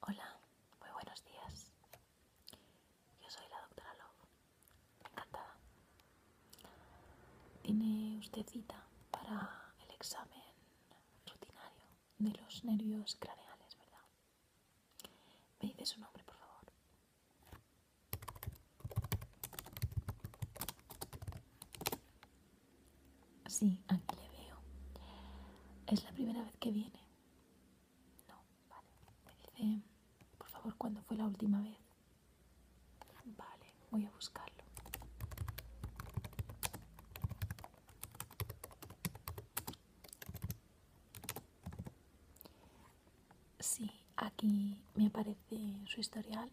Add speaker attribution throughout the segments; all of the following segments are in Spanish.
Speaker 1: Hola, muy buenos días. Yo soy la doctora Love. Encantada. ¿Tiene usted cita para el examen rutinario de los nervios craneales, verdad? Me dice su nombre, por favor. Sí, aquí le veo. ¿Es la primera vez que viene? No, vale. Me dice, por favor, ¿cuándo fue la última vez? Vale, voy a buscarlo. Sí, aquí me aparece su historial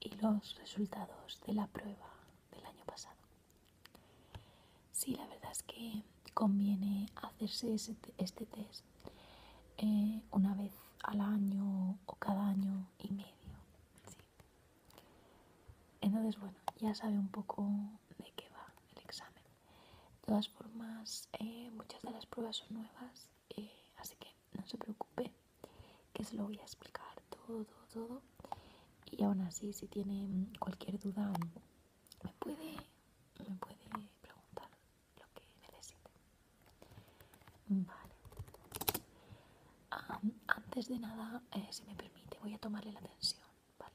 Speaker 1: y los resultados de la prueba del año pasado. Sí, la verdad es que conviene hacerse este test eh, una vez al año o cada año y medio. Entonces, bueno, ya sabe un poco de qué va el examen. De todas formas, eh, muchas de las pruebas son nuevas, eh, así que no se preocupe, que se lo voy a explicar todo, todo, Y aún así, si tiene mm, cualquier duda, me puede, preguntar lo que necesite. Vale. antes de nada, eh, si me permite, voy a tomarle la tensión, ¿vale?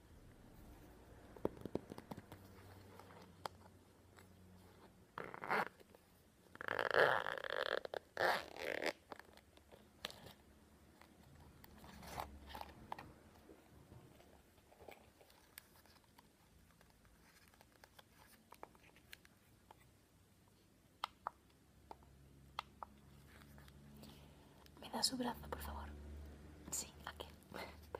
Speaker 1: Me da su brazo, por favor. Sí, aquí. Perfecto.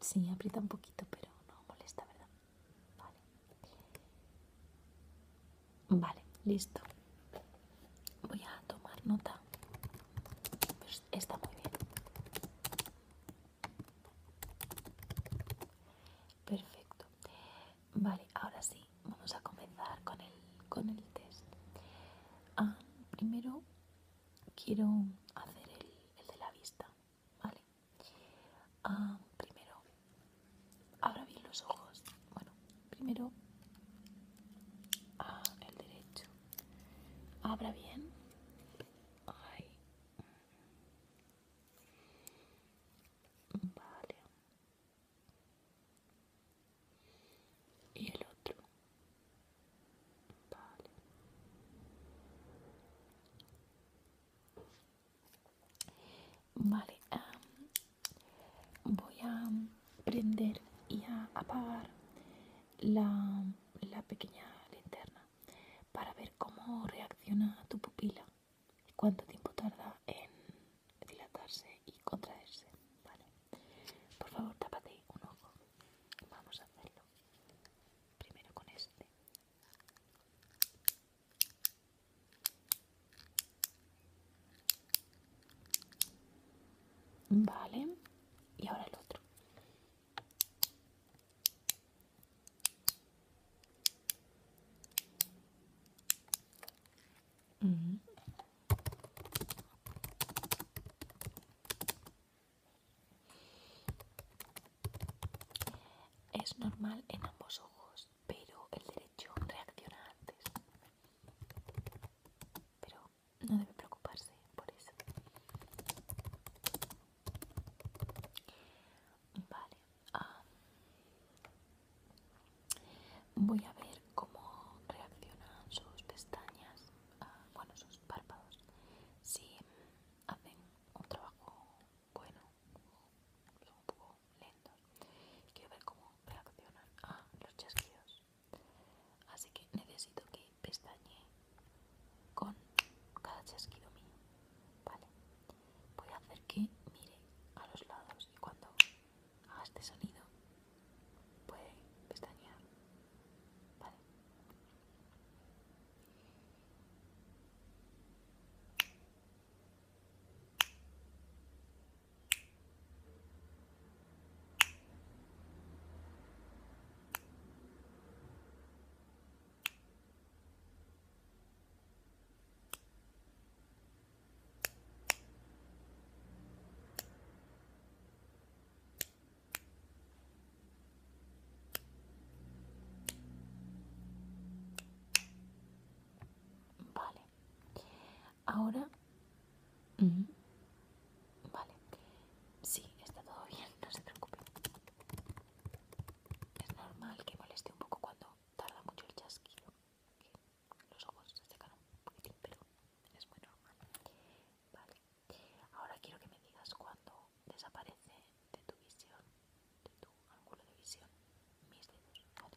Speaker 1: Sí, aprieta un poquito, pero no molesta, ¿verdad? Vale. Vale, listo. Voy a tomar nota. Pues está muy bien. Perfecto. Vale, ahora sí, vamos a comenzar con el, test. Ah, primero quiero hacer el, de la vista, ¿vale? Ah, primero, abra bien los ojos. Bueno, primero, ah, el derecho. Abra bien. Vale. Y el otro. Vale. Vale. voy a prender y a apagar la pequeña linterna para ver cómo reacciona tu pupila y cuánto tiempo tarda en dilatarse y contraerse. Vale. Por favor, tapate un ojo. Vamos a hacerlo. Primero con este. Vale. Y ahora el otro. Es normal en ambos ojos, pero el derecho reacciona antes. Pero no debe preocuparse por eso. Vale. voy a ver cómo reaccionan sus pestañas, ah, bueno, sus párpados, si hacen un trabajo bueno, son un poco lentos. Quiero ver cómo reaccionan a ah, los chasquidos. Así que necesito que pestañe con cada chasquido mío. Vale. Voy a hacer que mire a los lados y cuando haga este sonido puede pestañear. Vale. Vale. Ahora... Vale, sí, está todo bien, no se preocupe. Es normal que moleste un poco cuando tarda mucho el chasquido. los ojos se secan un poquitín, pero es muy normal. Vale, ahora quiero que me digas cuando desaparece de tu visión, de tu ángulo de visión, mis dedos. Vale.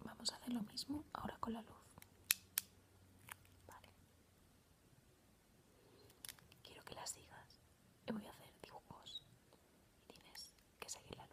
Speaker 1: Vamos a hacer lo mismo ahora con la luz. Vale. Quiero que la sigas y voy a hacer dibujos y tienes que seguir la luz.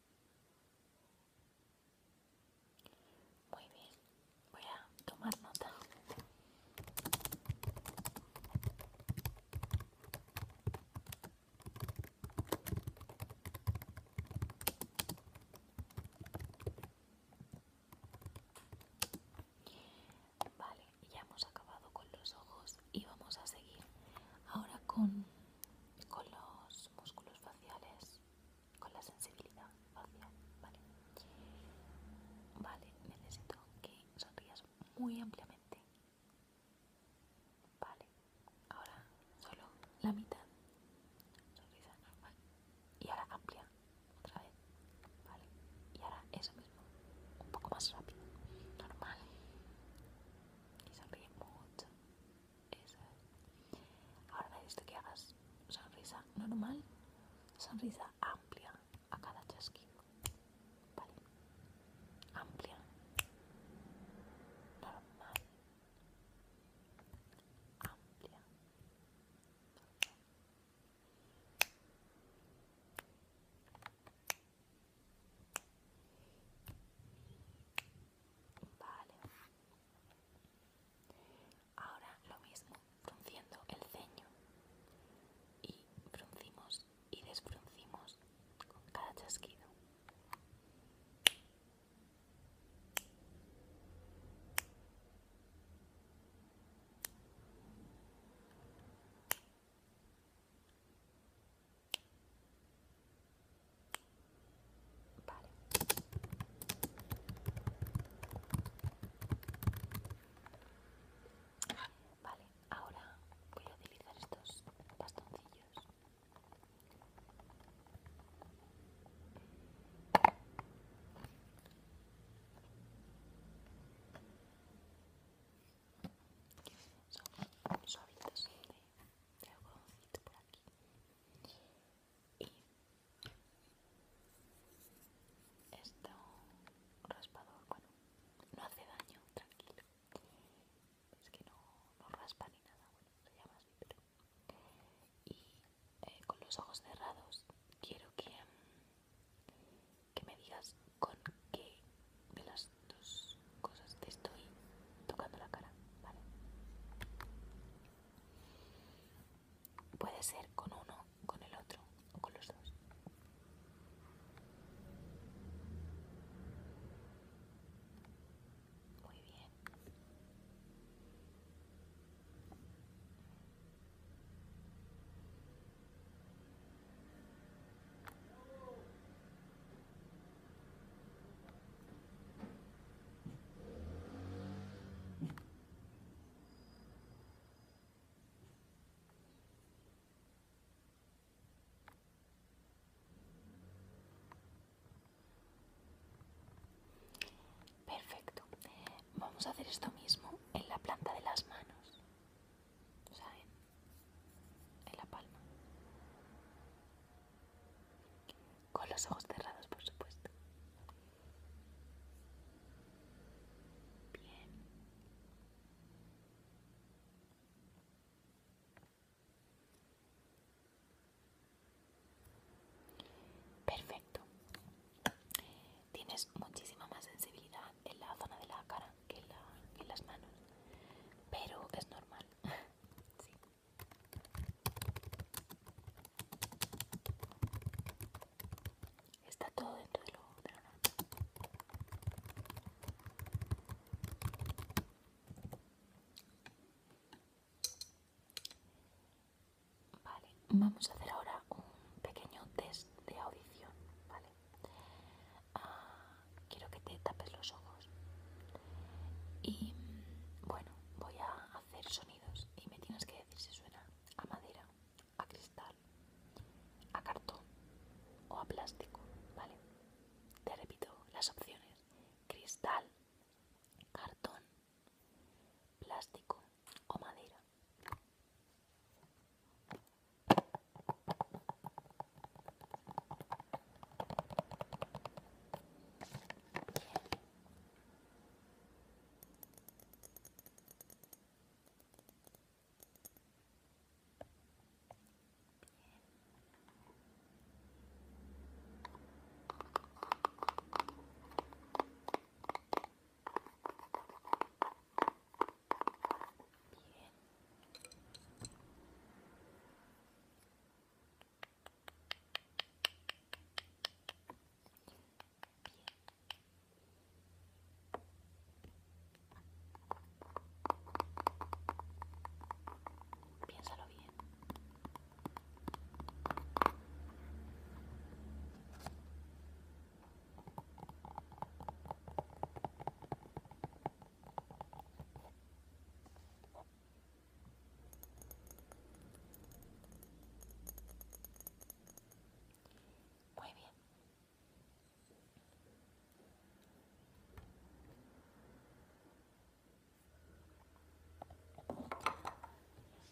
Speaker 1: Muy bien, voy a tomar nota. Vale, ya hemos acabado con los ojos y vamos a seguir ahora con con los músculos faciales, con la sensibilidad facial, ¿vale? Vale, necesito que sonrías muy ampliamente. Vale, ahora solo la mitad. Sonrisa normal. Y ahora amplia, otra vez. Vale, y ahora eso mismo, un poco más rápido. Normal y sonríe mucho. Eso es. Ahora me dice que hagas sonrisa normal, sonrisa amplia a cada chasquido. Vale. Amplia. Normal. Amplia. Vale. Ahora lo mismo, frunciendo el ceño. Y fruncimos y desfruncimos con cada chasquido. Vale. ahora voy a utilizar estos bastoncillos son suavitos de, de algodoncito por aquí y esto raspador bueno no hace daño tranquilo es que no, raspa ni nada bueno se llama así y eh, con los ojos cerrados quiero que mm, que me digas con qué de las dos cosas te estoy tocando la cara, ¿vale? Puede ser con uno, con el otro o con los dos. Muy bien. Perfecto. Vamos a hacer esto mismo en la planta de las manos o en la palma. Con los ojos cerrados, por supuesto. Bien. Perfecto tienes muchísima más sensibilidad en la zona de la cara que en, las manos, pero es normal. Está todo dentro de lo de Vale, vamos a hacer ahora un pequeño test de audición, ¿vale? Ah, quiero que te tapes los ojos. Y mm, bueno, voy a hacer sonidos y me tienes que decir si suena a madera, a cristal, a cartón o a plástico, ¿vale? Te repito las opciones. Cristal, cartón, plástico, o madera bien. Piénsalo Bien. Muy bien.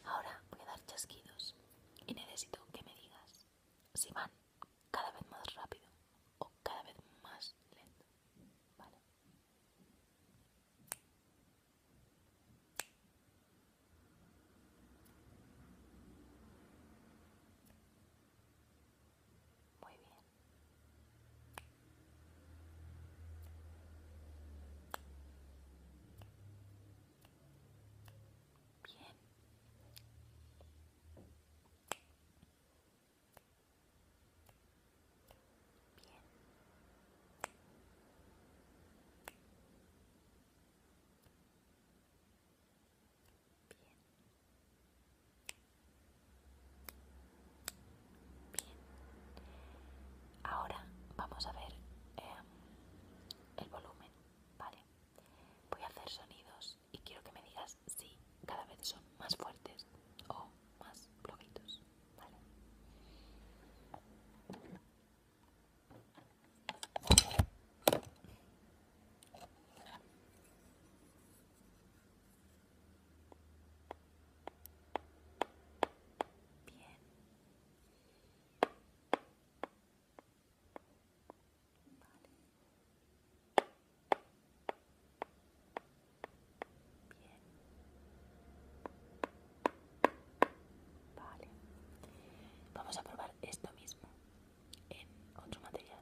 Speaker 1: Ahora voy a dar chasquidos y necesito que me digas si van cada vez más rápido o cada vez más lento. ¿Vale? Muy bien. Bien. Bien. Bien. Bien. Ahora vamos a ver eh, el volumen. Vale, voy a hacer sonidos y quiero que me digas si cada vez son más fuertes o más flojitos. Bien. Vale. Vamos a probar esto mismo en otro material.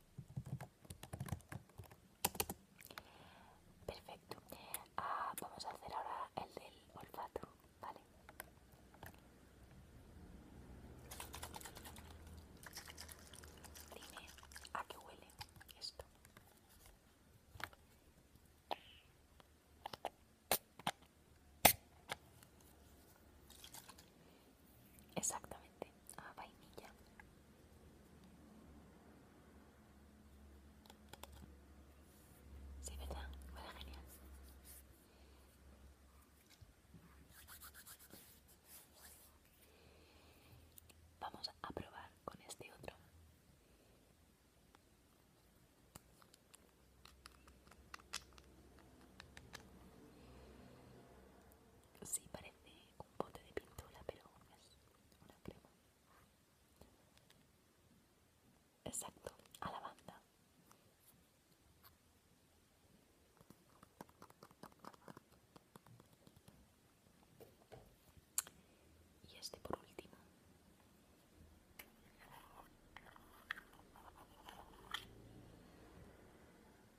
Speaker 1: Perfecto. Ah, vamos a hacer ahora el del olfato, ¿vale? Dime a qué huele esto. Exactamente, a ah, vainilla. Sí, ¿verdad? Huele genial. Vamos a probar con este otro. Sí, parece un bote de pintura, pero es una crema. Exacto, a la banda. Y este por último.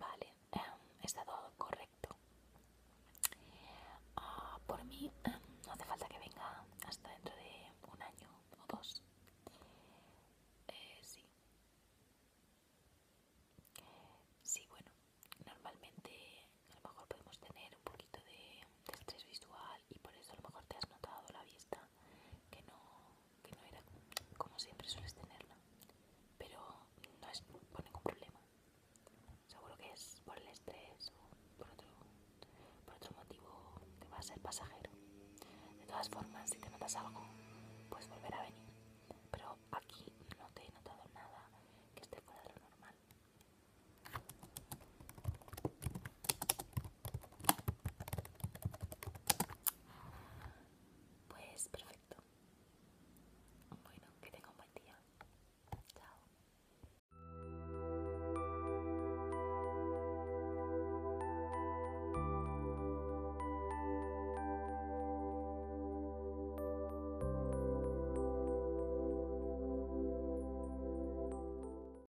Speaker 1: Vale, em, está todo correcto. Ah, por mí em, no hace falta que venga hasta dentro de un año o dos. Eh, sí. Sí, bueno, normalmente a lo mejor podemos tener un poquito de estrés visual y por eso a lo mejor te has notado la vista que no, que era como siempre sueles tenerla pero no es por ningún problema seguro que es por el estrés o por otro, por otro motivo que va a ser pasajero de todas formas si te notas algo puedes volver a venir pero aquí no te he notado nada que esté fuera de lo normal pues perfecto. Bueno, que tenga un buen día. Chao.